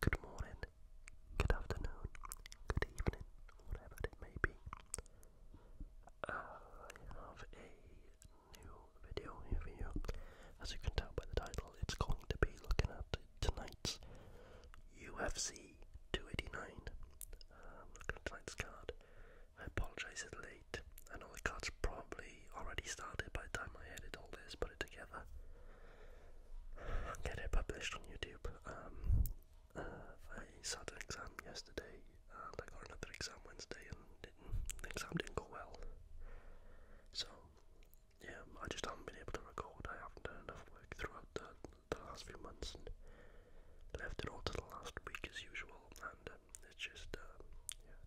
Good morning, good afternoon, good evening, whatever it may be. I have a new video for you. As you can tell by the title, it's going to be looking at tonight's UFC 289. looking um, at tonight's card. I apologise it's late. I know the card's probably already started by the time I edited all this, put it together. Get it published on YouTube. Um, uh, I sat an exam yesterday and I got another exam Wednesday and the exam didn't go well. So, yeah, I just haven't been able to record. I haven't done enough work throughout the the last few months left it all to the last week as usual. And um, it's just uh,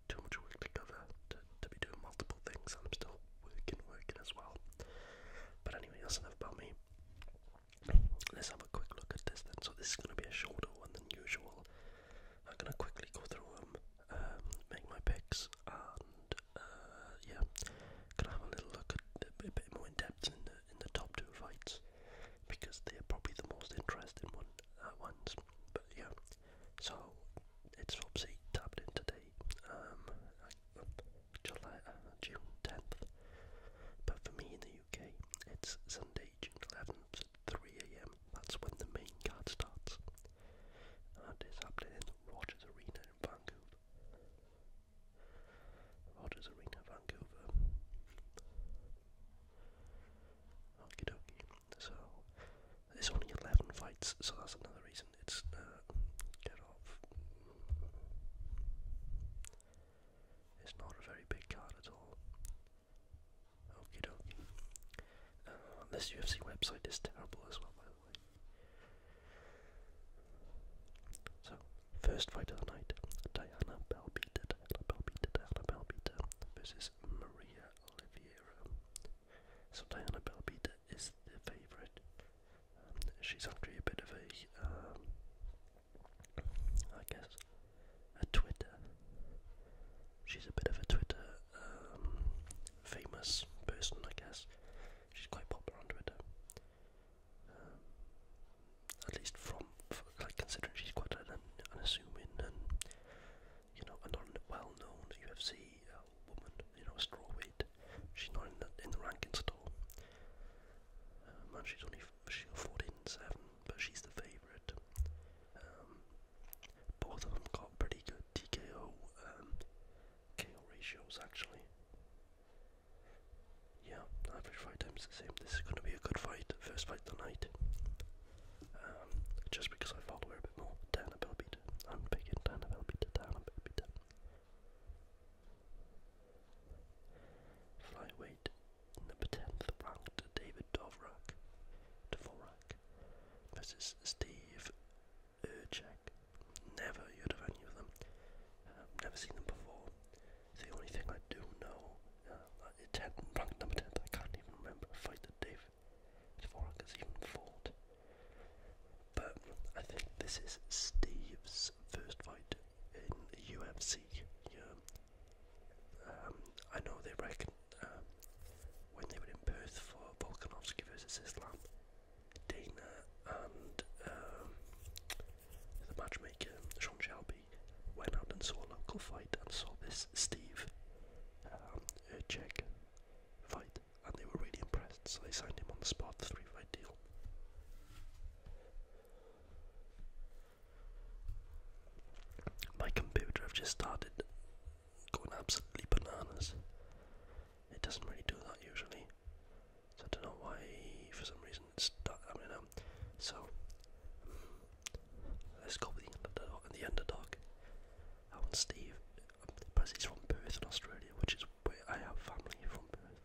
too much work to cover to, be doing multiple things. I'm still working, working as well. But anyway, that's enough about me. Let's have a quick look at this then. So this is going to be a shorter one than usual. I'm going to quickly go through them, um, make my picks, and uh, yeah, going have a little look at a bit more in depth in the in the top two fights because they're probably the most interesting uh, ones. But yeah, so it's obviously tapped in today, um, July uh, June tenth. But for me in the UK, it's Sunday June eleventh at three a.m. That's when the main card starts. And it's happening in Rogers Arena in Vancouver. Rogers Arena, Vancouver. Okie dokie. So, there's only 11 fights, so that's another reason it's uh, get off. It's not a very big card at all. Okie dokie. Uh, this UFC website is terrible as well, so, first fight of the night, Diana Balbita, Diana Balbita, Diana Balbita versus Maria Oliveira. So Diana Balbita is the favourite. Um, she's actually a bit of a, um, I guess, a Twitter. She's a bit of a Twitter um, famous person, I guess. She's quite popular on Twitter. Um, at least from, for, like considering she's quite an unassuming and you know a non well-known UFC uh, woman, you know, a strawweight. She's not in the in the rankings at all. Um, and she's only she's 14 7, but she's the favourite. Um, both of them got pretty good TKO um, KO ratios actually yeah, average fight time's the same. This is going to be a good fight, first fight tonight. Um, just because I follow her a bit more. Dana Belbita. I'm picking Dana Belbita. Flyweight, number 10th ranked David Dovrak. Dvorak versus Steve Urchek. Never heard of any of them. Um, never seen them before. The only thing I do know, uh, it's ranked number 10, I can't even remember a fight that Dave Dvorak has even fought. But I think this is Steve's first fight in UFC. Um, um, I know they reckon uh, when they were in Perth for Volkanovski versus Islam, Dana and um, the matchmaker Sean Shelby went out and saw a local fight and saw this Steve um, Urchek fight and they were really impressed so they signed him on the spot, three fight deal. My computer I've just started going absolutely bananas. It doesn't really do that usually. So I don't know why, for some reason, it's stuck. I mean, um, so let's go with the underdog. And the underdog, I want Steve, because he's from Perth in Australia, which is where I have family from Perth.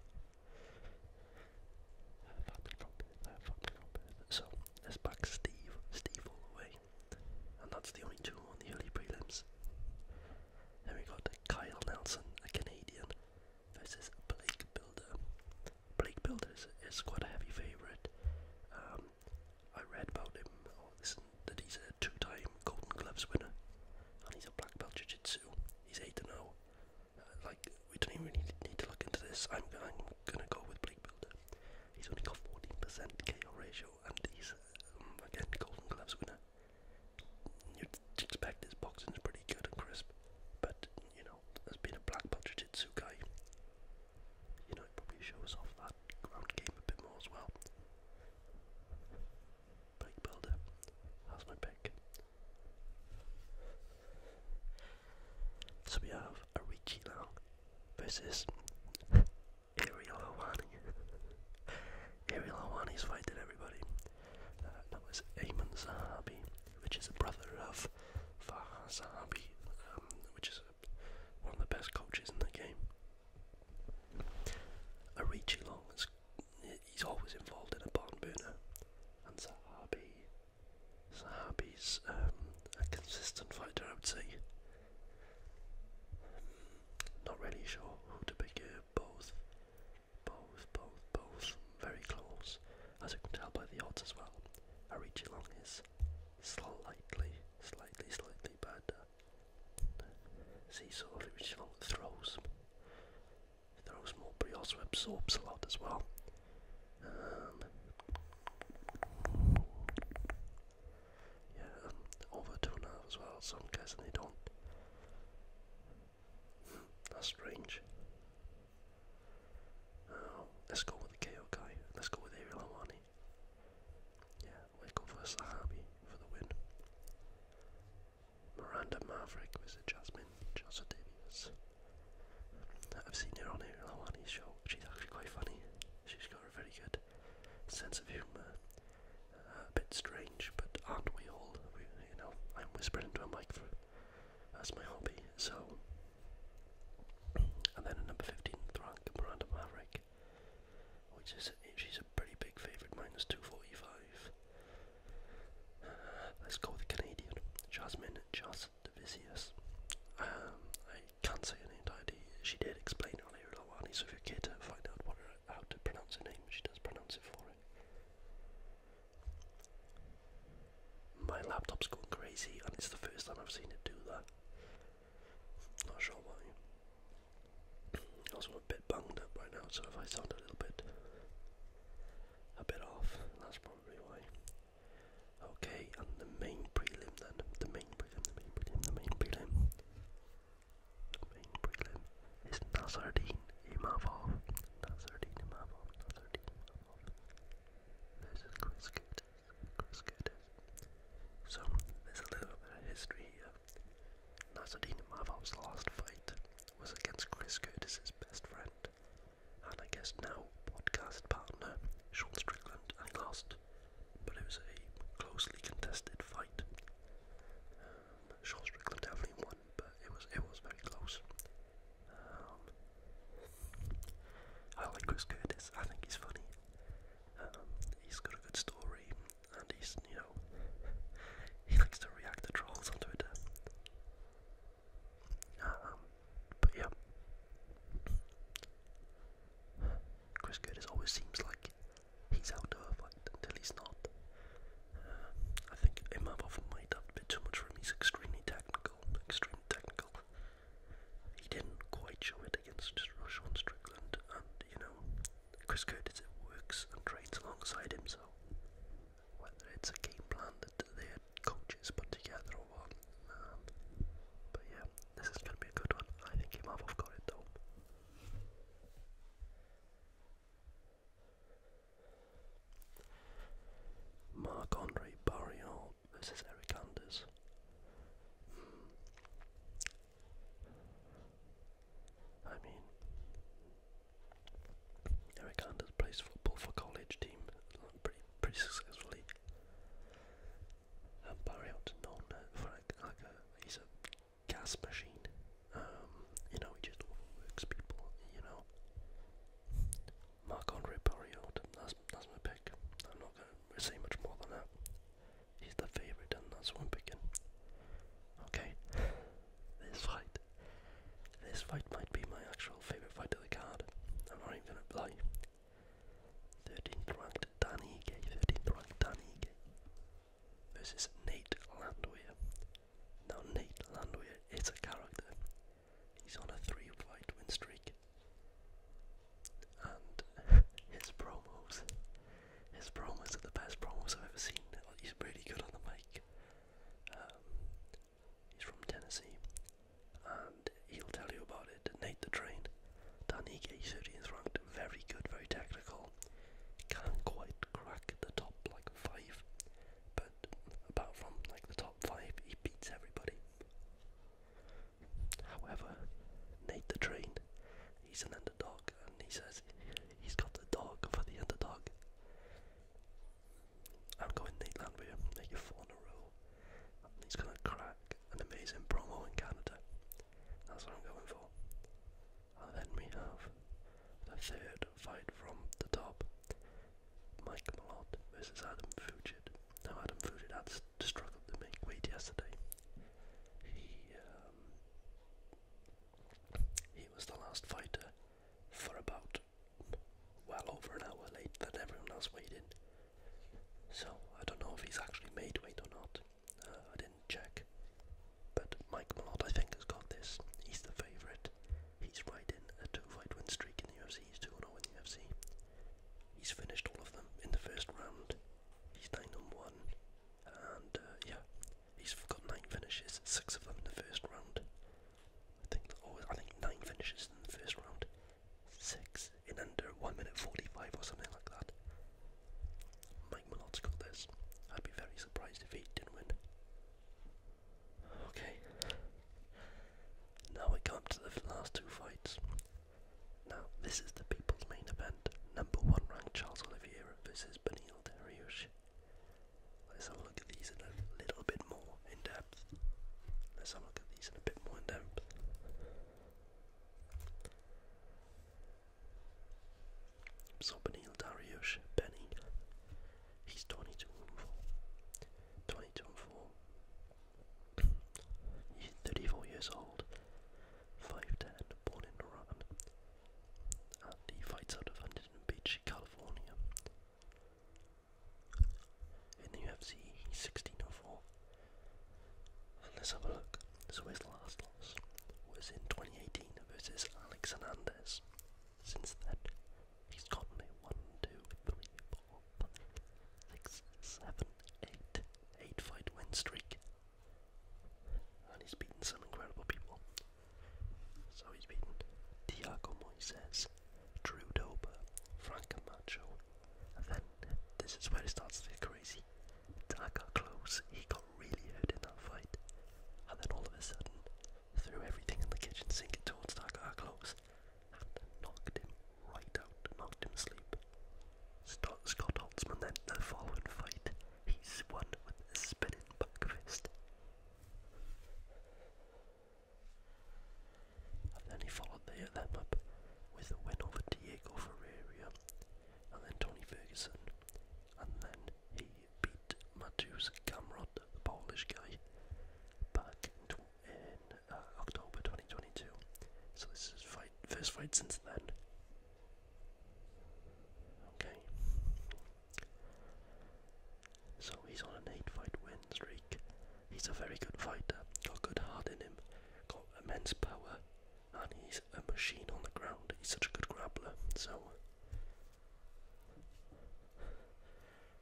So let's back Steve, Steve all the way, and that's the only two on the early prelims. Then we got Kyle Nelson, a Canadian, versus Blake Builder. Blake Builder is, quite a heavy favourite. Um, I read about him oh, that he's a two time Golden Gloves winner and he's a black belt jiu jitsu. He's 8 0. Uh, like, we don't even really need to look into this. I'm, I'm gonna go with Blake Builder. He's only got 14% KO ratio and he's, um, again, Golden Gloves winner you'd expect his boxing's pretty good and crisp, but you know, as being a black belt jiu guy, you know, probably shows off that ground game a bit more as well. Bike builder, that's my pick. So we have Arichi now versus Ariel Hawani. Ariel Helwani's fighting everybody. Uh, that was Ayman Zahabi, which is the brother of Farha Zahabi, um, which is one of the best coaches in the game. Arichi Long, is, he's always involved in a barn burner, and Zahabi, Zahabi's um, a consistent fighter, I would say. Hmm, not really sure who to pick here, both, both, both, both very close, as you can tell by the odds as well. Our Arichi Long is slightly, slightly, slightly better. See, so Arichi Long throws, throws more, but also absorbs a lot as well. Um, yeah, um, over two and a half as well, so I'm guessing they don't. that's strange. Oh, let's go with the KO guy. Let's go with Ariel Amani. Yeah, Waco versus Sahabi for the win. Miranda Maverick versus Jasmine Johnson Davies. I've seen her on Ariel Awani's show. She's actually quite funny. She's got a very good sense of humour a bit strange, but aren't we all? you know, I'm whispering into a mic that's my hobby. So, and then at number 15, rank, Miranda Maverick, which is she's a pretty big favourite, minus 245. Uh, let's go with the Canadian, Jasmine Jas Divisius. Um, I can't say her name entirely. She did explain earlier, Lawani, so if you're keen to find out what her how to pronounce her name. She does pronounce it for it. My laptop's going crazy, and it's the first time I've seen it do that. Not sure why. Also, a bit bunged up right now, so if I sound a little bit, a bit off, that's probably why. Okay, and the main prelim then. The main prelim, the main prelim, the main prelim main prelim is Nazardine Imavov. Nazardine Imavov, Nazardine Imavov. This is Chris Curtis, Chris Curtis. So, there's a little bit of history here. Nazardine Imavov's last fight was against Chris Curtis's best friend, and I guess now podcast partner, Sean Strickland, and he lost but it was a closely contested fight. Um, Sean definitely won, but it was it was very close. Um, I like Chris Curtis. I think he's funny. Um, he's got a good story, and he's you know he likes to react to trolls on Twitter. Um, but yeah. Chris Curtis always seems like he's out of a fight until he's not. Uh, I think Imav might have a bit too much for him. He's extremely technical, extremely technical. He didn't quite show it against Rashawn Strickland, and you know, Chris Curtis it works and trains alongside him. whether it's a game plan that their coaches put together or what, um, but yeah, this is going to be a good one. I think Imavov got it though. Marc Andre Barriot versus Eric Anders. Hmm. I mean, Eric Anders plays football for college team pretty pretty successfully. And Barriot known for like, like he's a gas machine. Um, you know, he just overworks people, you know. Marc Andre Pariot, that's, my pick. I'm not going to say much more than that. He's the favourite, and that's what i Okay, this fight. This fight might be my actual favourite fight of the card. I'm not even going to lie. 13th ranked Danny Ige, 13th ranked Danny Ige versus Nate Landwehr. Now, Nate Landwehr is a character. He's on a three fight win streak. And his promos, his promos are the best promos I've ever seen. He's really good on the mic. Um, he's from Tennessee, and he'll tell you about it. Nate the Train Danny Danige Syrians ranked very good, very technical. Can't quite crack the top like five, but apart from like the top five, he beats everybody. However, Nate the Train, he's an underdog, and he says he's got the dog for the underdog. I'm going Nate Landwehr, make your four in a row. And he's gonna crack an amazing promo in Canada. That's what I'm going for. And then we have the third fight from the top. Mike Malott versus Adam Fugit. Now Adam Fugit had struggled to make weight yesterday. He um, he was the last fighter for about well over an hour late than everyone else waited. So I don't know if he's actually made weight or not. I didn't check. But Mike Malott, I think, has got this. He's the favourite. He's right in a two-fight win streak in the UFC. He's 2-0 in the UFC. He's finished all of them in the first round. He's 9-1. And, uh, yeah, he's got 9 finishes, 6 of them in the first round. I think, oh, I think 9 finishes in the first round. 6 in under 1 minute 45 or something like that. Mike malot got this. I'd be very surprised if he didn't win. Okay. Now we come to the last two fights. Now, this is the people's main event. Number one ranked Charles Oliveira versus Benil Dariush. Let's have a look at these in a little bit more in depth. Let's have a look at these in a bit more in depth. Sobanil Dariush Benny. He's 22 and 4. 22 and 4. He's 34 years old. 5'10, born in Iran. And he fights out of Huntington Beach, California. In the UFC, he's 16 and 4 let's have a look. So his last loss was in 2018 versus Alex Hernandez. Since then, he's gotten a 1, fight win streak. And he's beaten some incredible people. So he's beaten Thiago Moises, Drew Dober, Frank Camacho, then this is where it starts to get crazy. Tag close, he got really hurt in that fight, and then all of a sudden threw everything in the kitchen sink towards Tag close and knocked him right out, knocked him asleep. Scott, Scott Holtzman then, the following fight, he's won with a spinning back fist. And then he followed the, them up with a win over Diego Ferreira and then Tony Ferguson, and then he beat Mateusz Gamrot, the Polish guy, back in, uh, October 2022. So this is his fight, first fight since then. Okay. So he's on an 8 fight win streak. He's a very good fighter, got good heart in him, got immense power, and he's a machine on the ground. He's such a good grappler. So,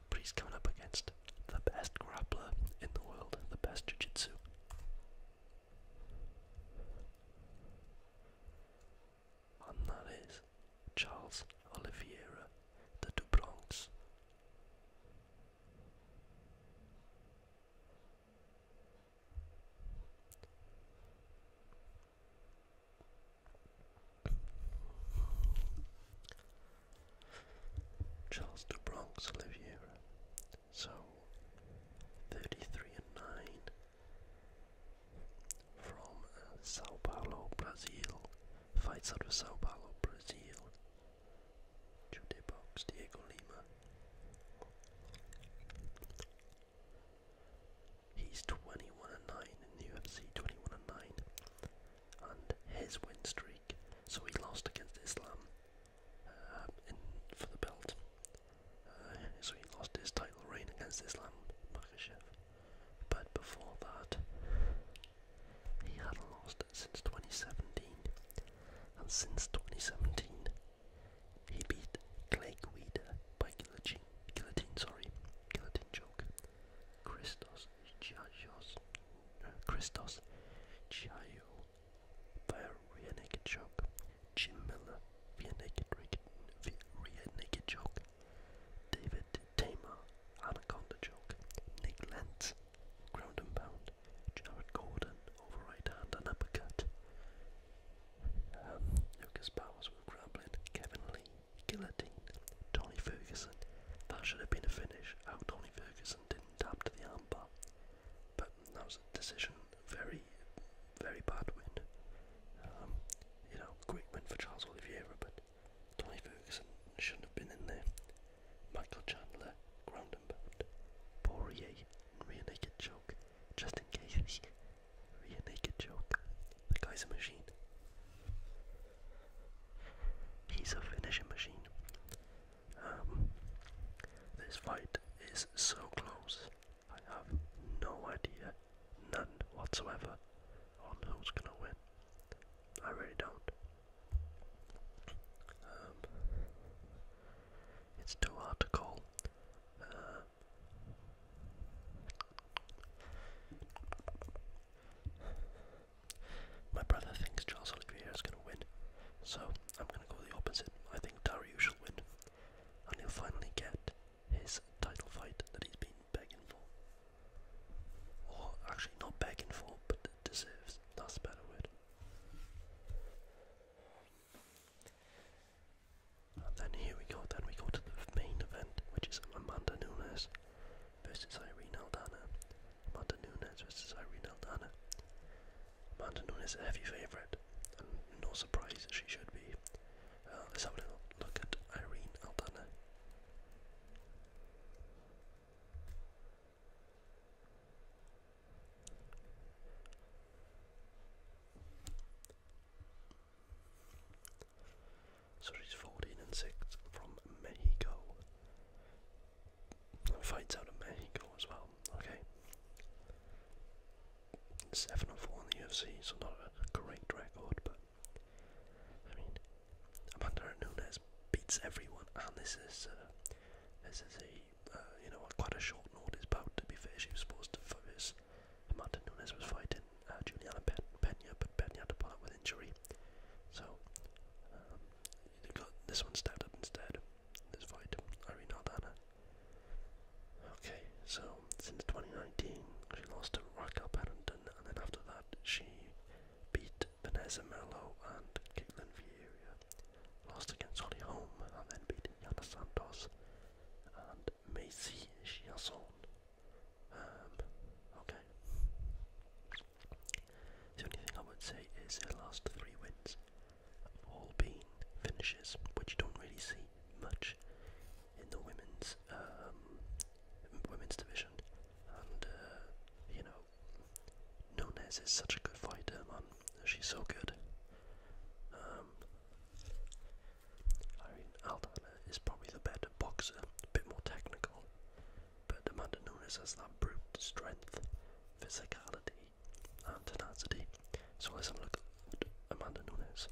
but he's coming up against the best grappler in the world, the best jiu-jitsu. And that is Charles Oliveira de Dubronx. Charles de Bronx Oliveira. So thirty-three and nine from uh, Sao Paulo, Brazil. Fights out of Sao Paulo, Brazil. Jude Box, Diego Lima. He's 21 and 9 in the UFC, 21 and 9. And his win streak, so he lost against Islam uh, for the belt. Uh, so he lost his title reign against Islam Makhachev. But before that, he hadn't lost since 2017 and since 2017 he beat Clay Guida by guillotine, guillotine, sorry, guillotine choke. Christos Chios, no, uh, Christos Chio by naked choke. Jim Miller via naked, via naked choke. David Tamar anaconda choke. Nick Lentz ground and pound. Jared Gordon over right hand and uppercut. Um, Lucas Powers with grappling. Kevin Lee, guillotine. Tony Ferguson. That should have been a finish. How Tony Ferguson didn't tap to the armbar. But that was a decision. Very, very bad win. Um, you know, great win for Charles Oliveira, but Tony Ferguson shouldn't have been in there. Michael Chandler, ground and pound. Poirier, rear naked choke. Justin Gaethje, rear naked Joke. The guy's a machine. He's a finishing machine. Um, this fight is so close. I have no idea, none whatsoever, on who's gonna win. I really don't. Um, it's too hard to call. Uh, my brother thinks Charles Oliveira is going to win, so I'm going to go the opposite. I think Darius will win, and he'll finally get his title fight that he's been begging for. Or actually, not begging for, but deserves. That's a better word. then here we go, then we go to the main event, which is Amanda Nunes versus Irene Aldana. Amanda Nunes versus Irene Aldana. Amanda Nunes is a heavy favourite, no surprise she should be. Uh, let's have a little look at Irene Aldana. So she's 14 and 6 from Mexico. Fights out of Mexico as well, okay. 7 and 4 in the UFC, so not a great record, but I mean, new Nunes beats everyone. And this is uh, this is a uh, you know quite a short note. notice about To be fair, she was supposed to first. Martin Nunes was fighting uh, Juliana Pe but Penya had to pull out with injury. So um, got this one stepped up instead. This fight, Irene Aldana. Okay, so since 2019, she lost to Raquel Pennington, and then after that, she beat Vanessa Merlo and Caitlin Vieira, lost against Holly Holm and then beat Yana Santos and Macy Chiasson. Um, okay. The only thing I would say is her last three wins have all been finishes, which you don't really see much in the women's um, women's division, and uh, you know Nunes is such a good fighter, man. She's so good. Um, Irene Aldana is probably the better boxer, a bit more technical, but Amanda Nunes has that brute strength, physicality, and tenacity. So let's have at Amanda Nunes.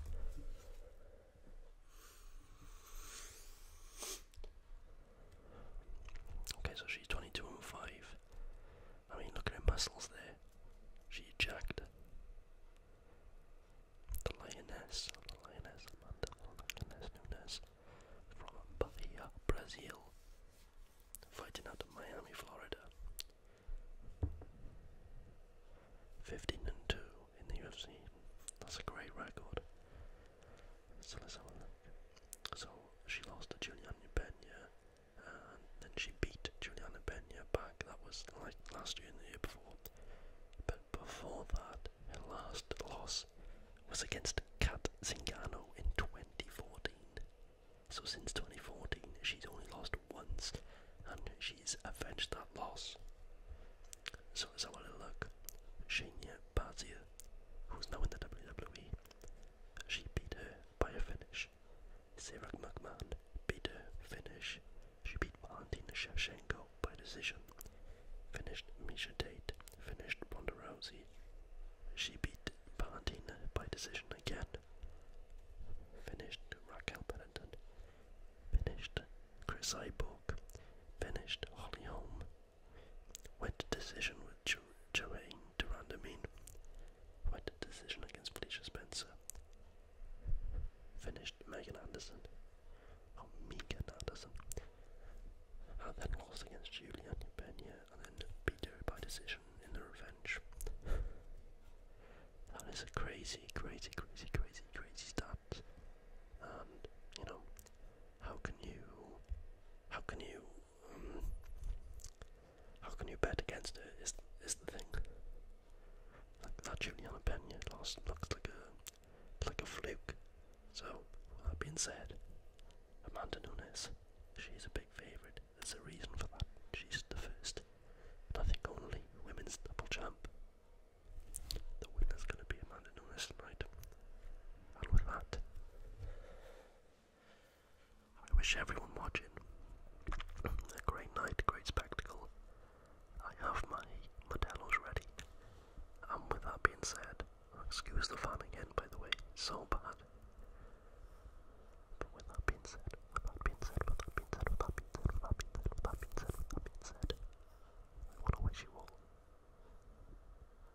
Okay, so she's 22 and 5. I mean, look at her muscles there. She's jacked. The lioness, the lioness, the lioness Nunes from Bahia, Brazil, fighting out of Miami, Florida. 15 and 2 in the UFC. That's a great record. So she lost to Juliana Pena, and then she beat Juliana Pena back. That was like last year and the year before. But before that, her last loss was against Kat Zingano in 2014. So since 2014, she's only lost once, and she's avenged that loss. So let's have a look. Shania Baszia, who's now in the WWE, she beat her by a finish. Sarah McMahon beat her finish. She beat Valentina Shevchenko by decision. Finished Misha Tate. Finished Ronda She beat Valentina by decision again. Finished Raquel Pennington. Finished Chris Iborg. Finished Holly Holm. What decision would Jermaine Duranda mean? What decision against Felicia Spencer? Finished Megan Anderson. Oh, Megan Anderson. And then lost against Julian Pena and then beat her by decision in the revenge. that is a crazy, crazy, crazy, crazy, crazy stat. And, you know, how can you, how can you um, how can you bet against it? Is is the thing? Like that Juliana Pena loss looks like a like a fluke. So that being said, Amanda Nunes, she's a big favourite. There's a reason for that. She's the first, I think only women's double champ. The winner's gonna be Amanda Nunes tonight. And with that, I wish everyone watching a great night, a great spectacle. I have my Modelo's ready. And with that being said, excuse the fan again, by the way, so bad. But with that being said, with that being said, with that being said, with that being said, with that being said, with that being said, I want wish you all